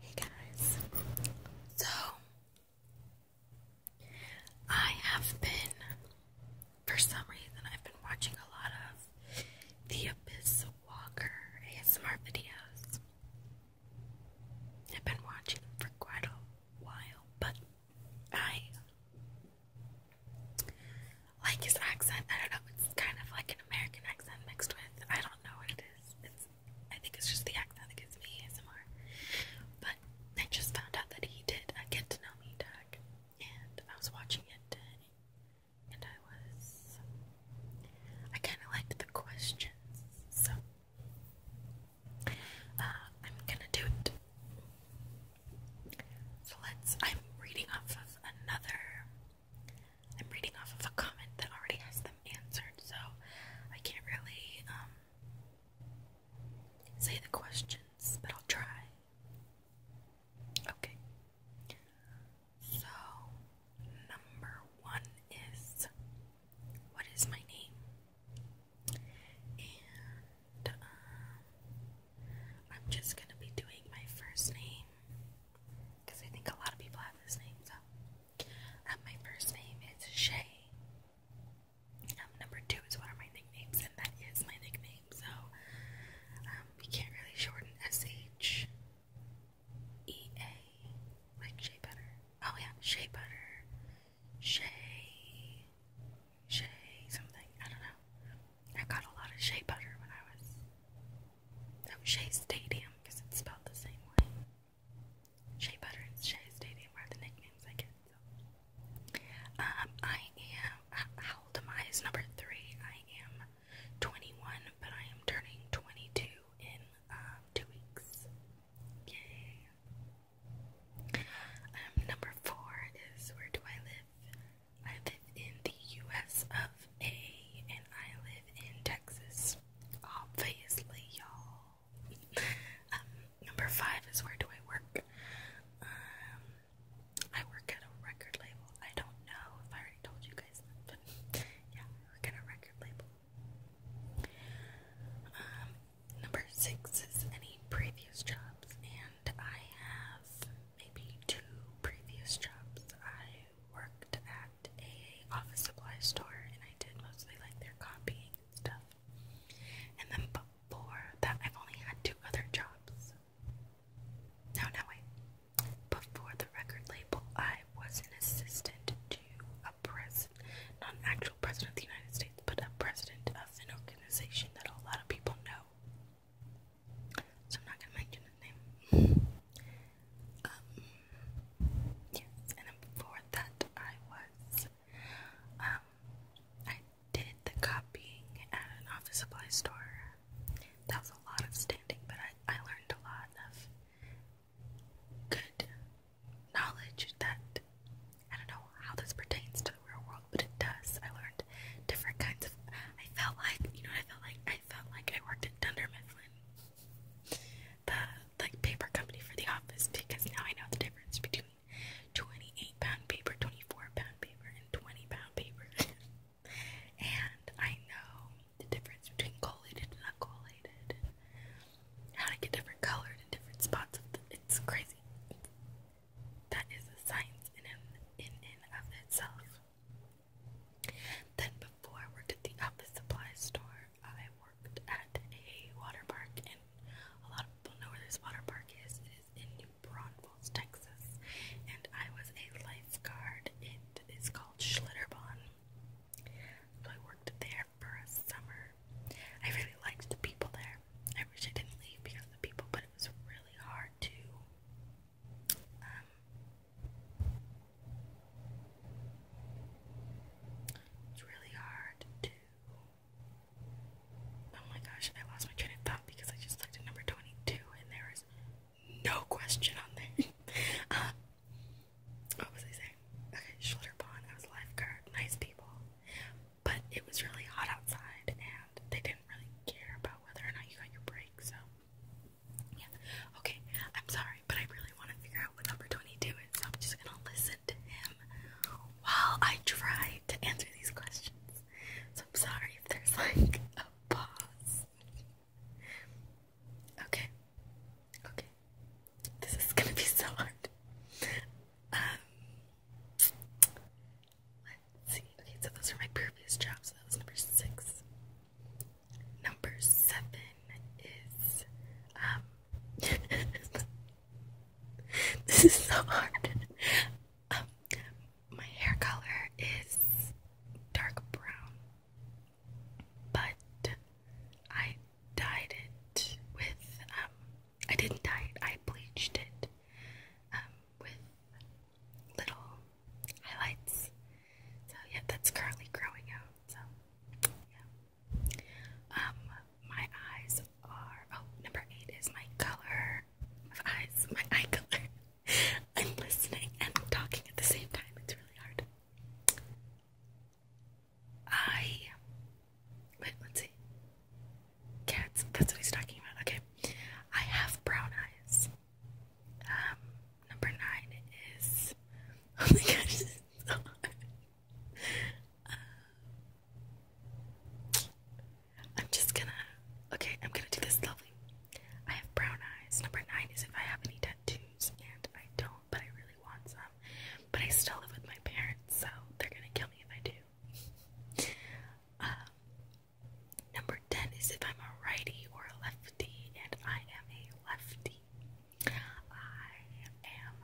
Hey guys, so I have been, for some reason, I've been watching a lot of The Abyss Walker ASMR videos. I've been watching them for quite a while, but I like his accent. I don't know, it's kind of like an American accent mixed with, I don't know what it is. It's I think it's just the accent that gives me ASMR. But I just found out that he did a get to know me tag, and I was watching it, and I was I kind of liked the questions, so uh, I'm gonna do it. So let's. I'm reading off of another I'm reading off of a comment that already has them answered, so I can't really um, say the questions, but I'll try. Okay. So, number one is what is my name? And um, I'm just going to be doing my first name because I think a lot of people have this name. So, um, my first name is Shay. Um, number two is one of my nicknames, and that is my nickname. So, um, we can't really shorten SH. E A, like Shea Butter. Oh yeah, Shea Butter. Shea, Shea something. I don't know. I got a lot of Shea Butter when I was of Shea Stadium because it's spelled the same way. Shea Butter and Shea Stadium are the nicknames I get. Um, I am, how old am I? Is number three. I am 21, but I am turning 22 in um, two weeks. Yay! Um, number four is where do I live? I live in the U.S. of a, and I live in Texas. Obviously, y'all. Um, number five is where do I work? Um, I work at a record label. I don't know if I already told you guys but yeah, I work at a record label. Um, number six is any previous jobs, and I have maybe two previous jobs. I worked at a office supply store and I did mostly like their copying and stuff. And then before that I've only had two other jobs. No, no wait. Before the record label I was an assistant to a president, not an actual president of the United States, but a president of an organization that a lot of people know so I'm not gonna mention his name. Um, and before that, I was, um, I did the copying at an office supply store. That was a lot of standing, but I, I learned a lot of good knowledge that I don't know how this pertains to the real world, but it does. I learned different kinds of. I felt like, you know, I felt like I felt like I worked at Dunder the like paper company for the office, because now I know the difference between 28 pound paper, 24 pound paper, and 20 pound paper. and I know the difference between collated and uncollated, how to get different colors in different spots. it's crazy. That is a science in, in, in of itself. Then, before I worked at the office supply store, I worked at a water park, and a lot of people know where this water park is. It is in New Braunfels, Texas, and I was a lifeguard. It is called Schlitterbahn. So I worked there for a summer. I really liked the people there. I wish I didn't leave because of the people, but it was really hard to um, it's really hard Oh my gosh, I lost my train of thought because I just looked number 22 and there is no question on there. Uh, what was I saying? Okay, shoulder I was lifeguard. Nice people. But it was really hot outside and they didn't really care about whether or not you got your break, so yeah. Okay. I'm sorry, but I really want to figure out what number 22 is, so I'm just gonna listen to him while I try to answer these questions. So I'm sorry if there's like a pause. Okay. Okay. This is gonna be so hard. Um, see. Okay, so those are my previous jobs. So that was number six. Number seven is um this is so hard. Um my hair color is dark brown. But I dyed it with um I didn't dye it, I bleached it um, with little highlights. So yeah, that's currently growing out. So yeah. Um, my eyes are oh number eight is my color of eyes, my eye color. I'm listening and talking at the same time. It's really hard. I wait. Let's see. Cats. That's what he's talking about. Okay. I have brown eyes. Um, number nine is oh my gosh, um, I'm just gonna okay, I'm gonna do this lovely. I have brown eyes. Number nine is if I have any tattoos, and I don't, but I really want some. But I still live with my parents, so they're gonna kill me if I do. Um, Number 10 is if I'm a righty or a lefty, and I am a lefty. I am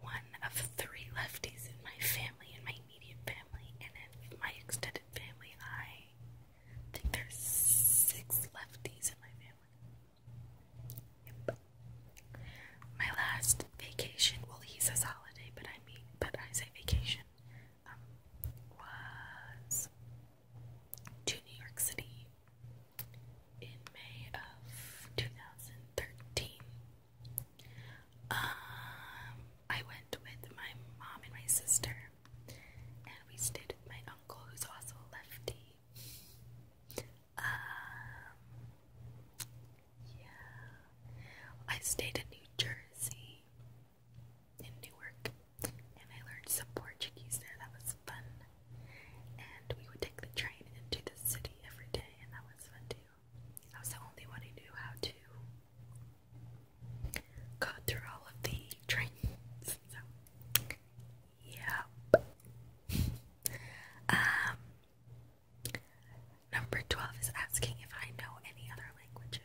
one of three lefties in my family, in my immediate family, and in my extended family. I think there's six lefties in my family. My last vacation, well, he says holiday, but I mean, but I say vacation. Um, was to New York City in May of 2013. Um, I went with my mom and my sister, and we stayed with my uncle, who's also lefty. Um, yeah, I stayed in New Jersey in Newark, and I learned some Portuguese there. That was fun. And we would take the train into the city every day, and that was fun too. I was the only one who knew how to go through all of the trains. So, yeah. Um, number 12 is asking if I know any other languages.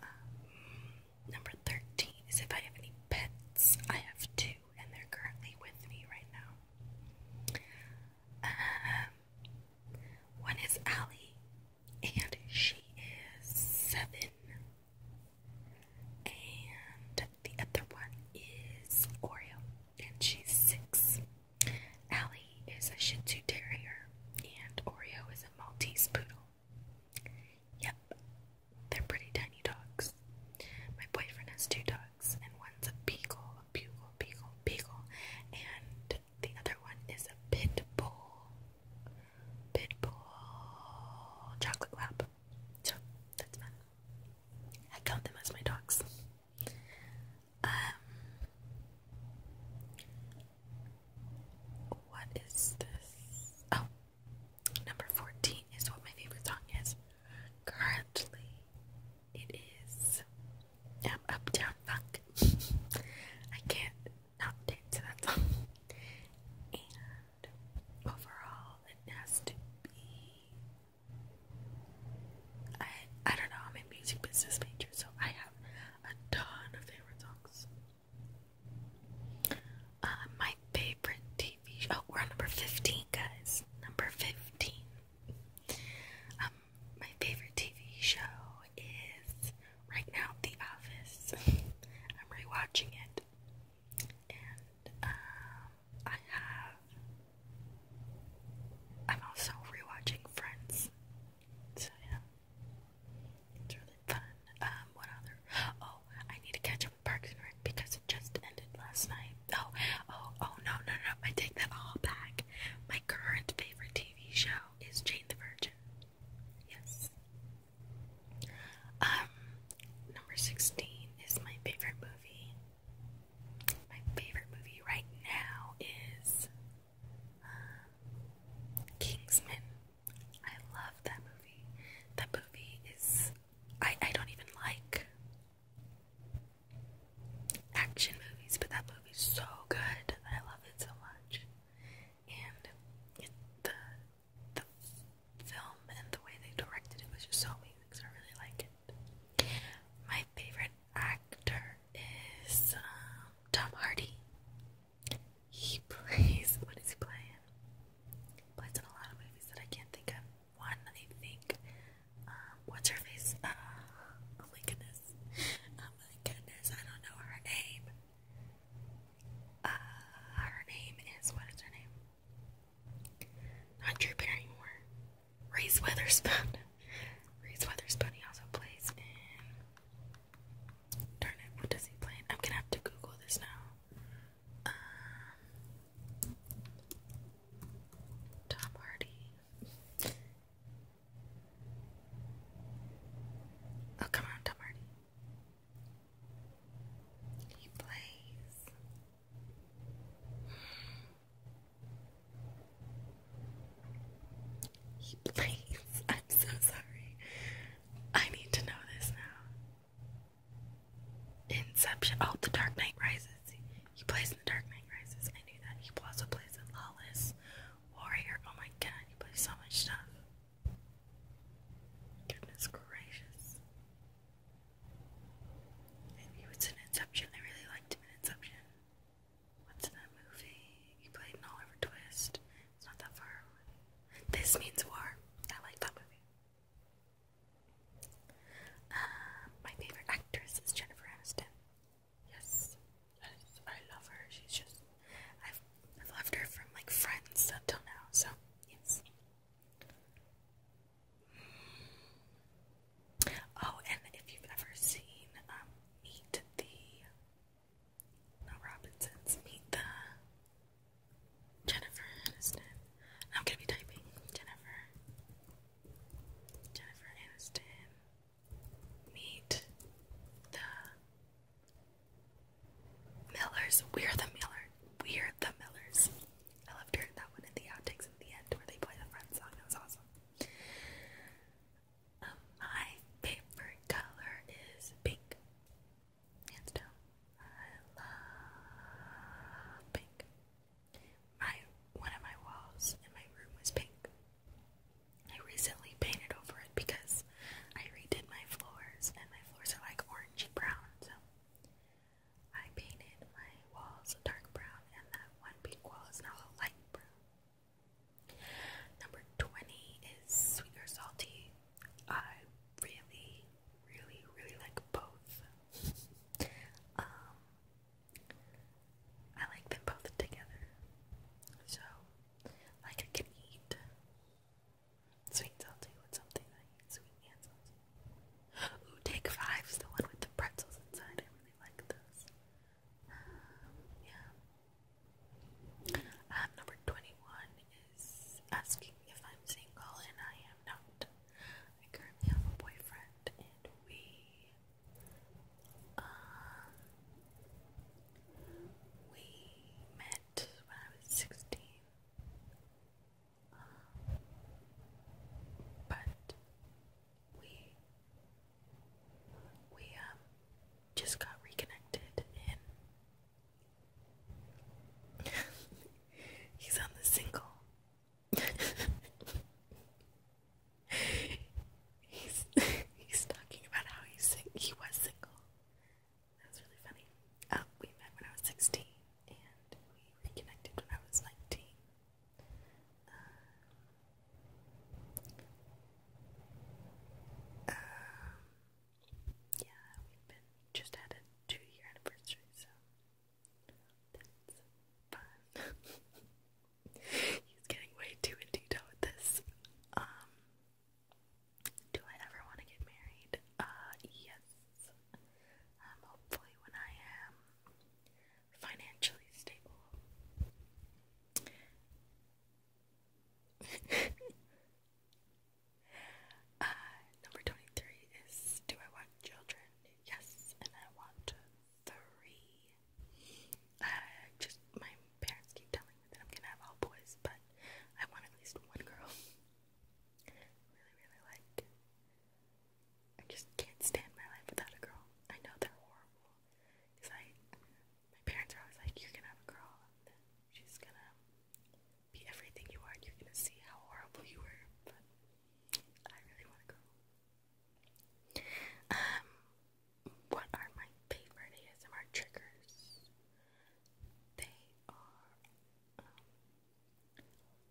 Um, number 13 is if I have any pets. I have two, and they're currently with me right now. Um, one is Allie, and she is seven. And the other one is Oreo, and she's six. Allie he is a Shih Tzu Terrier, and Oreo is a Maltese Poodle. Yep, they're pretty tiny dogs. My boyfriend has two dogs, and one's a beagle, a beagle, beagle, and the other one is a pit bull, pit bull chocolate lab. So that's fun. I count them as my dogs. Um, what is this? Oh, number 14 is what my favorite song is. Currently, it is um, Uptown Funk. I can't not dance to that song. And overall, it has to be. I I don't know. I'm a music business major, so I have a ton of favorite songs. Uh, my favorite TV show. Oh, we're on number 15, guys. Number 15. Um, my favorite TV show is right now The Office. I'm rewatching it. And, um, I have. I'm also rewatching Friends. So, yeah. It's really fun. Um, what other? Oh, I need to catch up with Parks and Rec because it just ended last night. Oh, oh, oh, no, no, no. I take that all back. My current favorite TV show is Jane the Virgin. Yes. Um, number 16 is my favorite movie. My favorite movie right now is Kingsman. I love that movie. That movie is I I don't even like action movies, but that movie is so good. I love it so much. And the the film and the way they directed it was just so amazing. So I really like it. My favorite actor is um, Tom Hardy. He plays. What is he playing? He in a lot of movies that I can't think of. One, I think. Um, what's her face? Uh, oh my goodness. Oh my goodness. I don't know her name. Uh, her name is. What is her name? Not Barrymore. Reese Witherspoon. Reese Witherspoon he also plays Darn it, what does he play I'm gonna have to Google this now. Um, Tom Hardy. Oh, come on, Tom Hardy. He plays. He blinks. I'm so sorry. I need to know this now. Inception. Oh, The Dark Knight Rises. He plays in The Dark Knight Rises. I knew that. He also plays in Lawless Warrior. Oh my god, he plays so much stuff. Goodness gracious. he was in Inception. I really liked him in Inception. What's that movie? He played Oliver Twist. It's not that far away. This Means War. I like that movie. Uh, my favorite actress is Jennifer Aniston. Yes, yes, I love her. She's just I've I've loved her from like Friends until now. So yes. Oh, and if you've ever seen um, Meet the no Robinsons, Meet the Jennifer Aniston. I'm gonna be typing Jennifer. Jennifer Aniston. Meet the Millers. We're the Miller. We're the Millers. I loved hearing that one in the outtakes at the end where they play the Friends song. That was awesome my favorite color is pink. Hands down. I love pink. My one of my walls in my room was pink. I recently painted over it because I redid my floors and my floors are like orangey brown, so I painted my walls a dark brown and that one pink wall is now a light blue. Number 20 is sweet or salty. I really, really, really like both. um, I like them both together. So, like, I can eat sweet and salty with something I eat sweet and salty. Ooh, Take Five is the one with the pretzels inside. I really like those. Um, yeah. number 21 is asking if I'm single, and I am not. I currently have a boyfriend, and we, uh, we met when I was 16. Um, but we we um just got reconnected and he's on the single. he's he's talking about how he's he was single. That was really funny. Um, we met when I was sixteen and we reconnected when I was nineteen. Um, yeah, we've been just had a two year anniversary, so that's fun. He's getting way too in detail with this. Um, do I ever want to get married? Uh, yes. Um, hopefully when I am financially stable. uh, number 23 is Do I want children? Yes, and I want three. Uh, just my parents keep telling me that I'm gonna have all boys, but I want at least one girl. really, really like I just can't stand my life without a girl. I know they're horrible. It's like my parents are always like, You're gonna have a girl and then she's gonna be everything you are and you're gonna see how horrible you were but I really want a girl. Um what are my favorite ASMR triggers? They are um,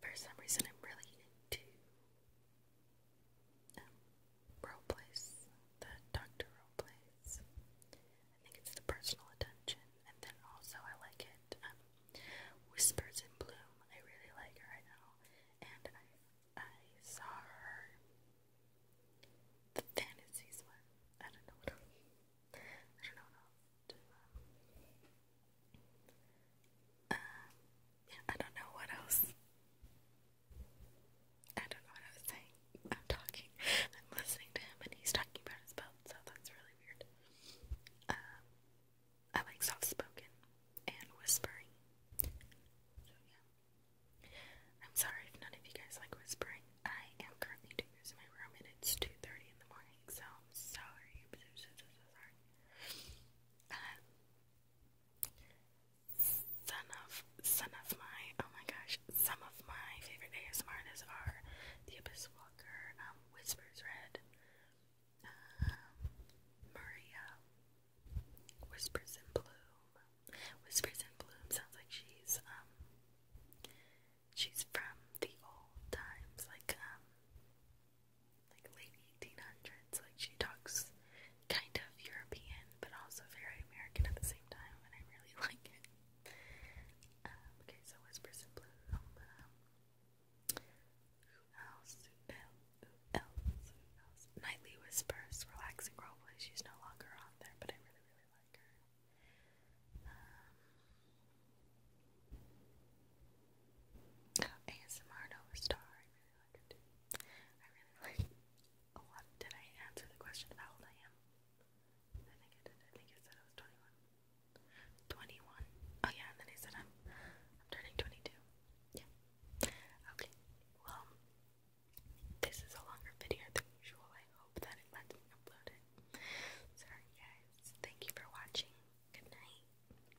for some reason I'm really into role plays, the doctor role plays. I think it's the personal attention, and then also I like it. Um, Whispers in Bloom, I really like her right now, and I I saw her the fantasies one. I don't know I don't know what else. I don't know what else. I don't know what I was saying. I'm talking. I'm listening to him and he's talking about his belt, so that's really weird. Um, I like soft spoken and whispering. So, yeah. I'm sorry if none of you guys like whispering. I am currently doing this in my room and it's 2.30 in the morning, so I'm sorry. sorry. Uh, some of some of my oh my gosh, some of my favorite ASMR artists are The Abyss Walker, um, Whispers Red, um, Maria, Whispers in Bloom. Whispers in Bloom sounds like she's um, she's from the old times, like like late 1800s. Like she talks kind of European, but also very American at the same time, and I really like it. Um, okay, so Whispers in um, Blue. Um, who else? Who else? Who else? Nightly Whispers, relaxing roleplay. She's no longer on there, but I really, really like her. Um, oh, Star, I really like a lot. Did I answer the question about how old I am? I think I did. I think I said I was 21. 21. Oh yeah, and then I said I'm, I'm turning 22. Yeah. Okay. Well, this is a longer video than usual. I hope that it lets me upload it. Sorry guys. Thank you for watching. Good night.